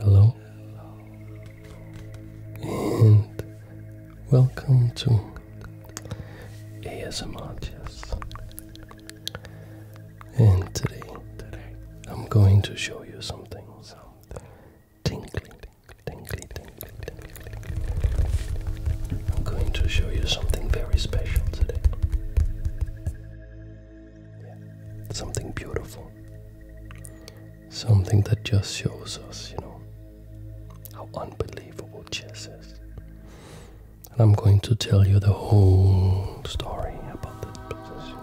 Hello and welcome to ASMR Chess. And today, I'm going to show you something, something tingly, tingly, tingly, tingly. I'm going to show you something very special today. Something beautiful. Something that just shows us, you know, how unbelievable chess is. And I'm going to tell you the whole story about this position.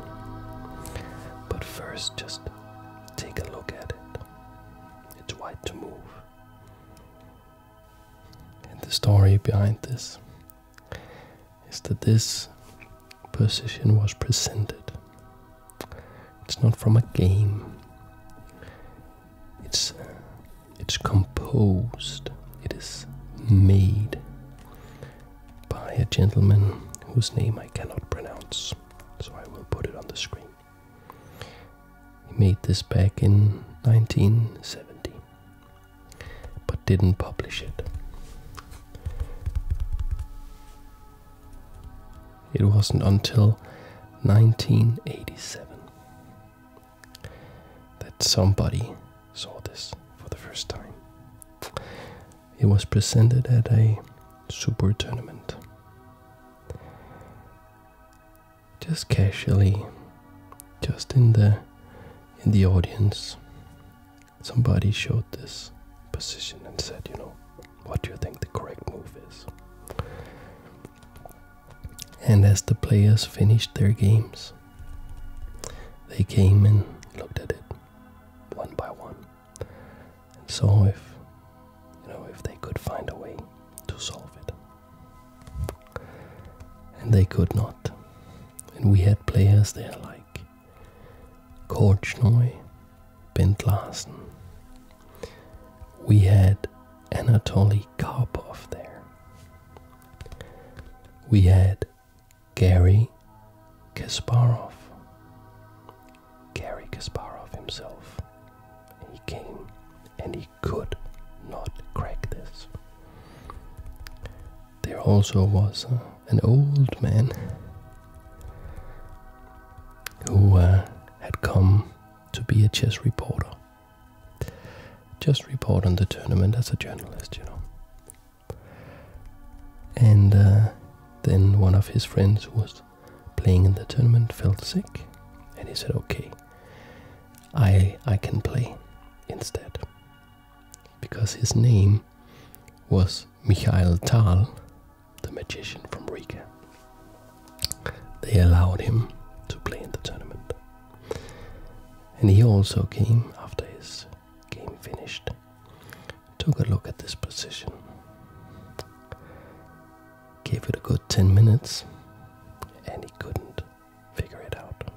But first, just take a look at it. It's wide to move. And the story behind this is that this position was presented. It's not from a game. It's it's composed. It is made by a gentleman whose name I cannot pronounce, so I will put it on the screen. He made this back in 1970 but didn't publish it. It wasn't until 1987 that somebody saw this for the first time. It was presented at a super tournament. Just casually, just in the in the audience, somebody showed this position and said, you know, what do you think the correct move is? And as the players finished their games, they came and looked at it one by one and saw if, you know, if they could find a way to solve it. And they could not and we had players there like Korchnoi, Bent Larsen. We had Anatoly Karpov there. We had Gary Kasparov. Gary Kasparov himself. He came and he could not crack this. There also was uh, an old man who uh, had come to be a chess reporter. Just report on the tournament as a journalist, you know. And uh, then one of his friends who was playing in the tournament felt sick, and he said, "Okay, I I can play instead." because his name was Michael Tal, the magician from Riga. They allowed him to play in the tournament. And he also came after his game finished, took a look at this position, gave it a good 10 minutes, and he couldn't figure it out.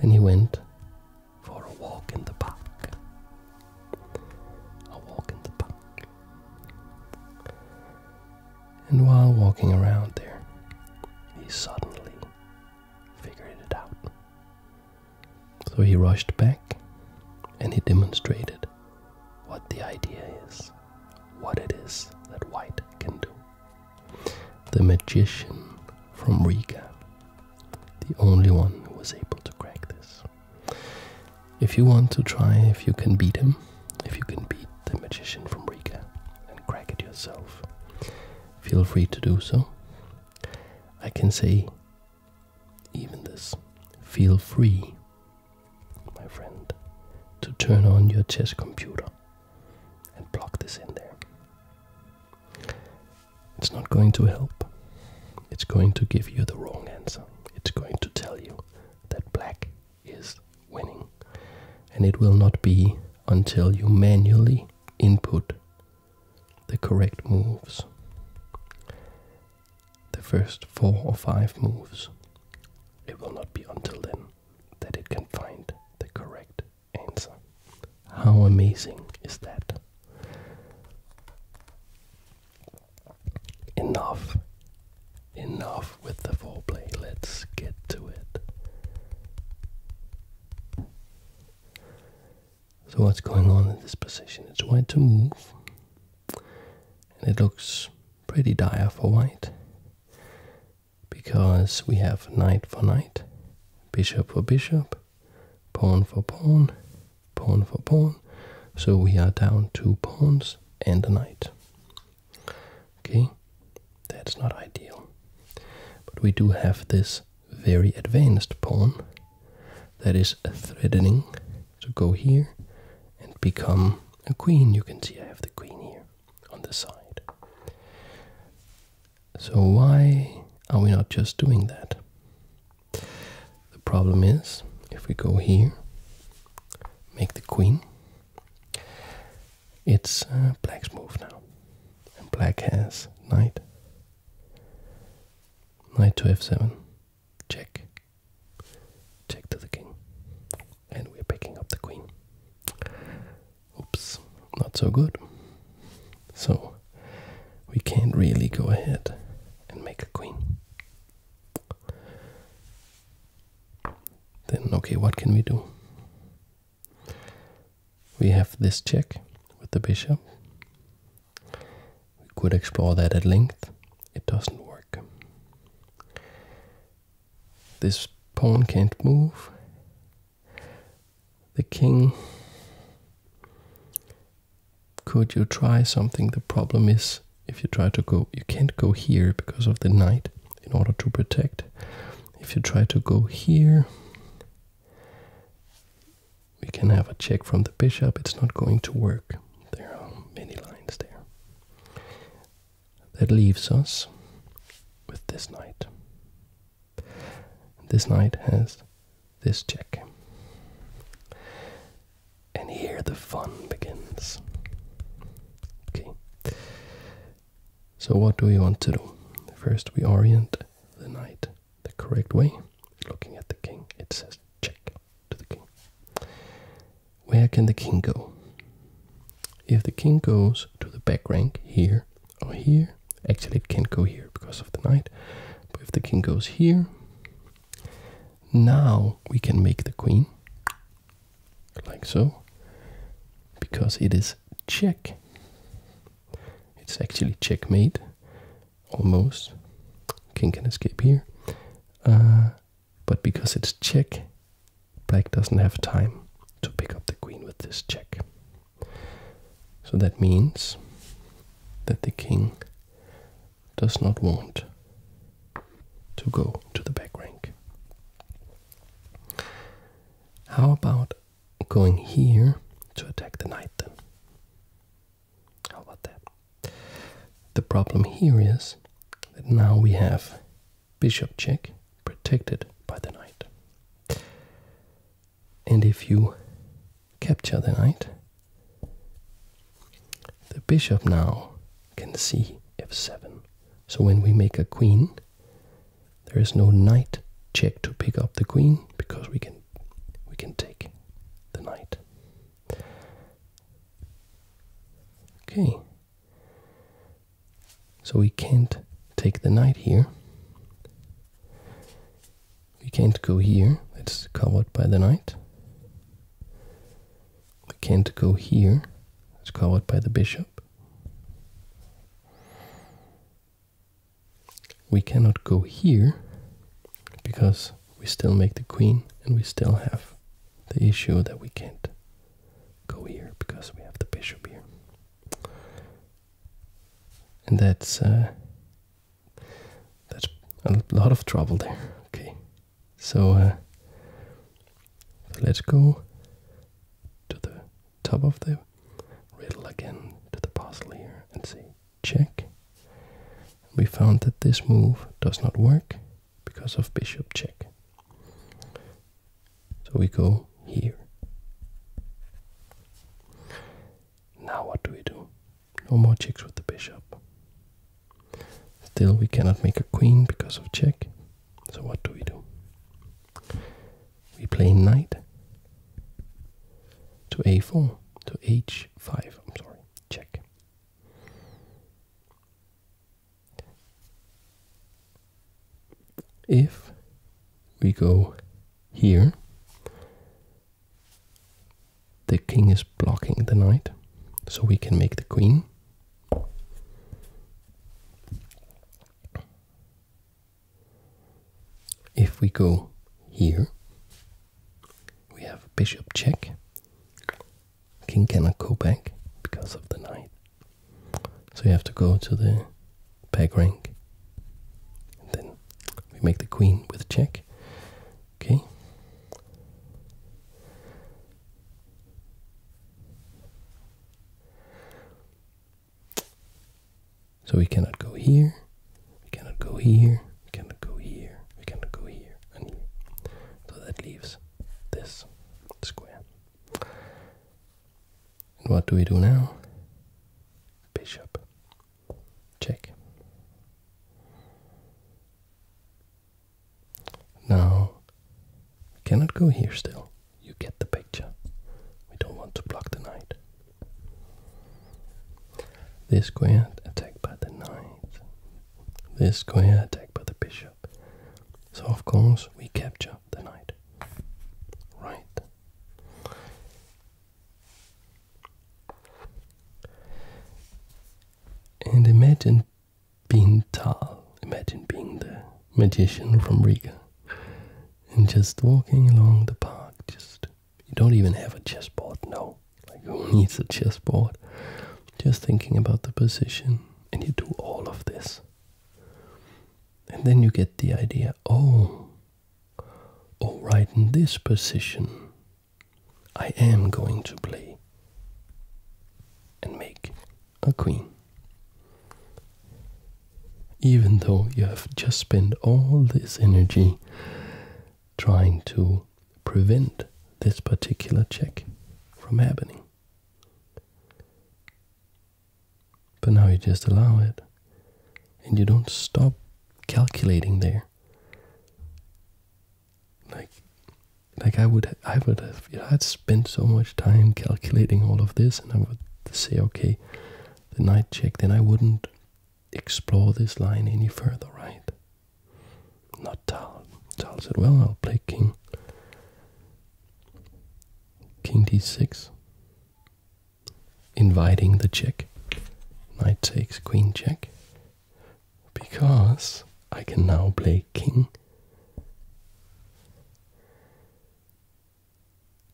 Then he went for a walk in the park. A walk in the park. And while walking around there, he suddenly figured it out. So he rushed back and he demonstrated what the idea is, what it is that white can do the magician from Riga, the only one who was able to crack this. If you want to try if you can beat him, if you can beat the magician from Riga and crack it yourself, feel free to do so. I can say even this feel free, my friend, to turn on your chess computer and plug this in there. It's not going to help. It's going to give you the wrong answer. It's going to tell you that black is winning. And it will not be until you manually input the correct moves. The first four or five moves. It will not be until then that it can find the correct answer. How amazing is that? Enough. Enough with the foreplay. Let's get to it. So, what's going on in this position? It's white to move, and it looks pretty dire for white because we have knight for knight, bishop for bishop, pawn for pawn, pawn for pawn. So we are down two pawns and a knight. Okay, that's not ideal. But we do have this very advanced pawn that is threatening to go here and become a queen. You can see I have the queen here on the side. So why are we not just doing that? The problem is, if we go here, make the queen, it's uh, black's move now. And black has knight. Knight to f7. Check. Check to the king and we're picking up the queen. Oops, not so good. So we can't really go ahead and make a queen. Then, okay, what can we do? We have this check with the bishop. We could explore that at length. It doesn't work. This pawn can't move. The king. Could you try something? The problem is if you try to go, you can't go here because of the knight in order to protect. If you try to go here, we can have a check from the bishop. It's not going to work. There are many lines there that leaves us with this knight. This knight has this check. And here the fun begins. Okay. So, what do we want to do? First, we orient the knight the correct way, looking at the king. It says check to the king where can the king go? If the king goes to the back rank here or here, actually it can't go here because of the knight, but if the king goes here, now we can make the queen, like so, because it is check. It's actually checkmate, almost. King can escape here. Uh, but because it's check, black doesn't have time to pick up the queen with this check. So that means that the king does not want to go to the back rank. How about going here to attack the knight then? How about that? The problem here is that now we have bishop check, protected by the knight. And if you capture the knight, the bishop now can see f7. So when we make a queen, there is no knight check to pick up the queen because we can we can take the knight. Okay, so we can't take the knight here. We can't go here, it's covered by the knight. We can't go here, it's covered by the bishop. We cannot go here because we still make the queen and we still have the issue that we can't go here because we have the bishop here. And that's uh, that's a lot of trouble there. Okay, so, so uh, let's go to the top of the riddle again to the puzzle here and say check. We found that this move does not work, because of bishop check. So we go here. Now what do we do? No more checks with the bishop. Still we cannot make a queen because of check. So what do we do? We play knight to a4 to h5, I'm sorry, check. If we go here, the king is blocking the knight, so we can make the queen. If we go here, we have bishop check, king cannot go back because of the knight. So you have to go to the back rank. then we make the queen with check. Okay. So we cannot go here, we cannot go here, we cannot go here, we cannot go here. So that leaves this square. And what do we do now? Bishop. Check. Now, cannot go here still. You get the picture. We don't want to block the knight. This square attacked by the knight. This square attack by the bishop. So of course we capture the knight. Right. And imagine being tall. imagine being the magician from Riga and just walking along the park, just you don't even have a chessboard, no. Like who needs a chessboard. Just thinking about the position, and you do all of this. And then you get the idea oh, all oh, right, in this position, I am going to play and make a queen. Even though you have just spent all this energy trying to prevent this particular check from happening. But now you just allow it and you don't stop calculating there. Like like I would I would have I'd spent so much time calculating all of this and I would say okay the night check then I wouldn't explore this line any further right not Tal. Tal said, well, I'll play king. King d6. Inviting the check. Knight takes queen check. Because I can now play king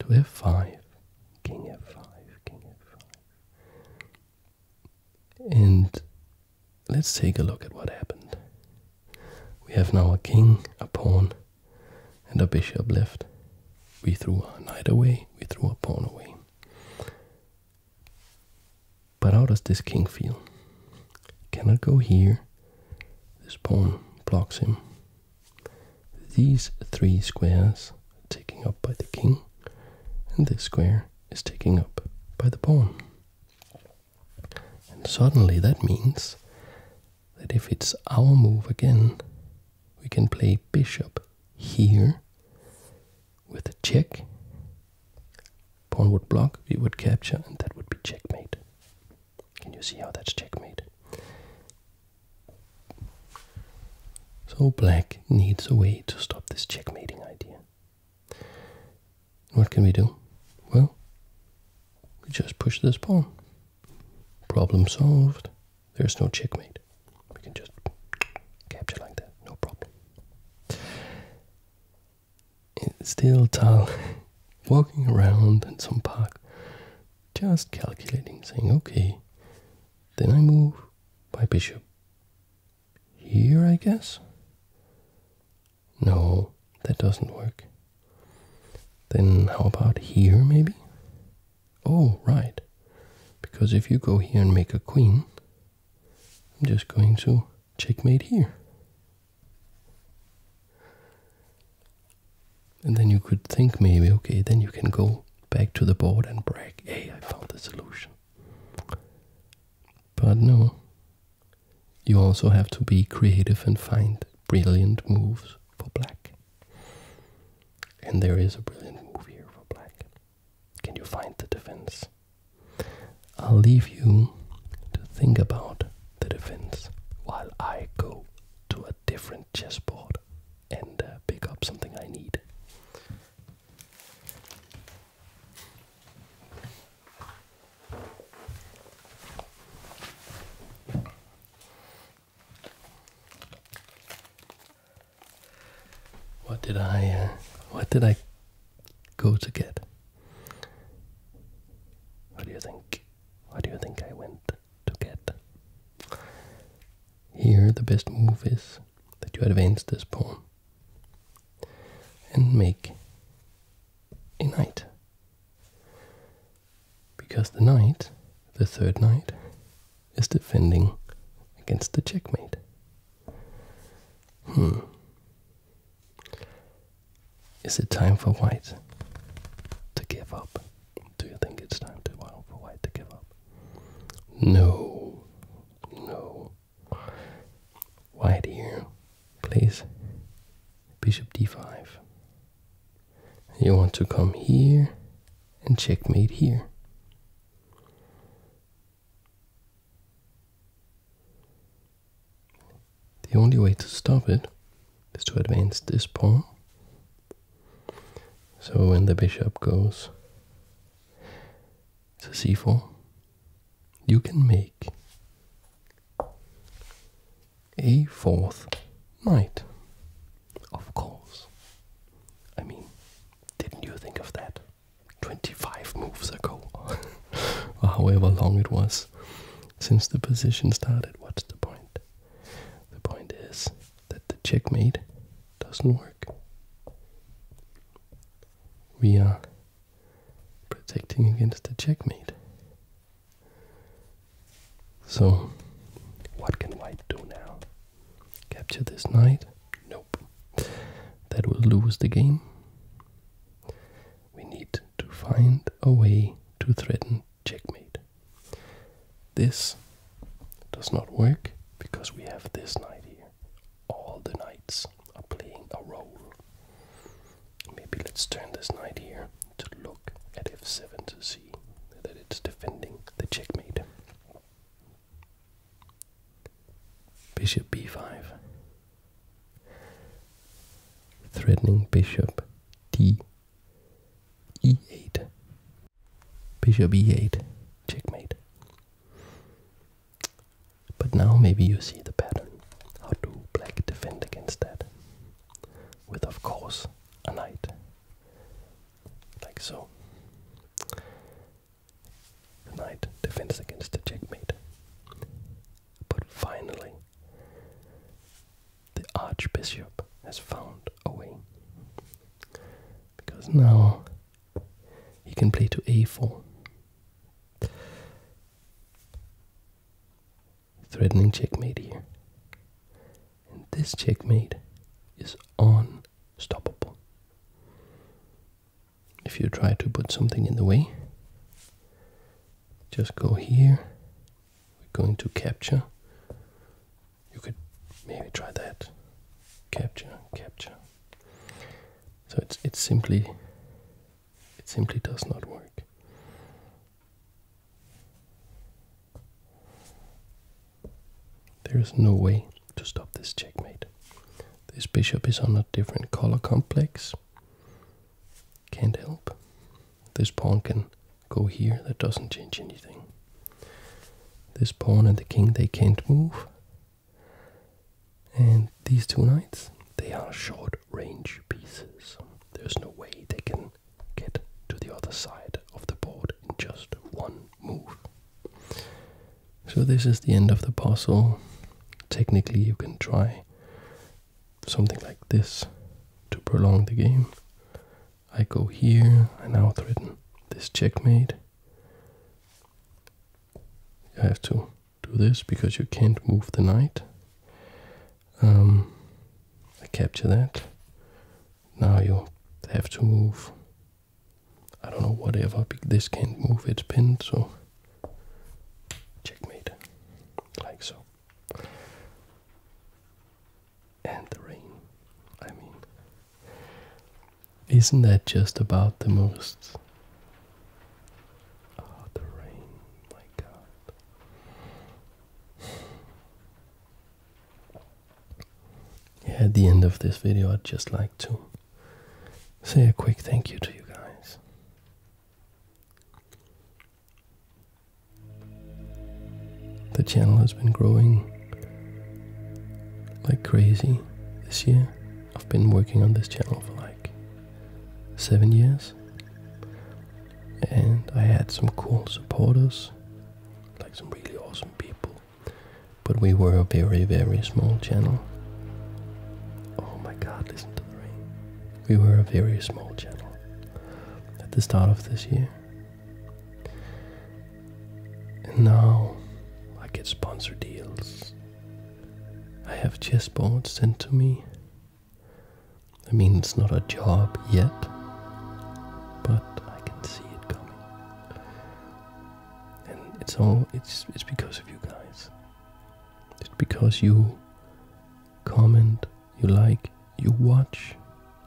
to f5. King f5, king f5. And let's take a look at what happened. We have now a king, a pawn, and a bishop left. We threw a knight away, we threw a pawn away. But how does this king feel? Cannot go here. This pawn blocks him. These three squares taken up by the king, and this square is taken up by the pawn. And suddenly that means that if it's our move again, we can play bishop here with a check. Pawn would block, we would capture, and that would be checkmate. Can you see how that's checkmate? So black needs a way to stop this checkmating idea. What can we do? Well, we just push this pawn. Problem solved. There's no checkmate. We can just capture like that, no problem. It's still Tal walking around in some park, just calculating, saying, okay, then I move by bishop here, I guess? No, that doesn't work. Then how about here, maybe? Oh, right. Because if you go here and make a queen, I'm just going to checkmate here. And then you could think maybe, okay, then you can go back to the board and brag, hey, I found the solution. But no, you also have to be creative and find brilliant moves for black. And there is a brilliant move here for black. Can you find the defense? I'll leave you to think about the defense while I go to a different chessboard and uh, pick up something I need. What did I? Uh, what did I go to get? What do you think? What do you think I went to get? Here, the best move is that you advance this pawn and make a knight. Because the knight, the third knight, is defending against the checkmate. Hmm. Is it time for white to give up? Do you think it's time to, uh, for white to give up? No. No. White here please. bishop d5. You want to come here and checkmate here. The only way to stop it is to advance this pawn. So when the bishop goes it's c c4. You can make a fourth knight. Of course. I mean, didn't you think of that 25 moves ago? or however long it was since the position started. What's the point? The point is that the checkmate doesn't work. We are protecting against the checkmate. So, what can white do now? Capture this knight? Nope. That will lose the game. We need to find a way to threaten checkmate. This does not work because we have this knight here all the knights are playing a role. Maybe let's turn this knight here to look at f7 to see that it's defending the checkmate. Bishop b5. Threatening bishop d e8. Bishop e8. Checkmate. But now maybe you see the pattern. How do black defend against that? With, of course, a knight. Like so. The knight defends against the checkmate. But finally, the archbishop has found a way. Because now he can play to a4. Threatening checkmate here. And this checkmate is unstoppable. If you try to put something in the way, just go here. We're going to capture you could maybe try that capture capture so it's it's simply it simply does not work there is no way to stop this checkmate this bishop is on a different color complex can't help this pawn can go here that doesn't change anything this pawn and the king, they can't move. And these two knights, they are short range pieces. There's no way they can get to the other side of the board in just one move. So this is the end of the puzzle. Technically, you can try something like this to prolong the game. I go here, I now threaten this checkmate. You have to do this because you can't move the knight. Um, I capture that. Now you have to move. I don't know, whatever. This can't move, it's pinned, so checkmate. Like so. And the rain, I mean. Isn't that just about the most? Oh, the rain, my God. at the end of this video, I'd just like to say a quick thank you to you guys. The channel has been growing like crazy this year. I've been working on this channel for like seven years, and I had some cool supporters, like some really awesome people, but we were a very, very small channel. Oh my god, listen to the rain. We were a very small channel at the start of this year. And now I get sponsor deals. I have chessboards sent to me. I mean, it's not a job yet, but I can see it coming. And it's all it's it's because of you guys. It's because you comment, you like, you watch,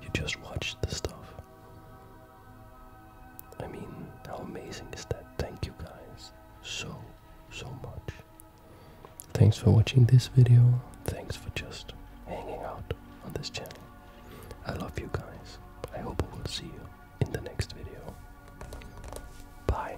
you just watch the stuff. I mean, how amazing is that? Thank you guys so, so much. Thanks for watching this video. Thanks for just hanging out on this channel. I love you guys. I hope I will see you in the next video. Bye.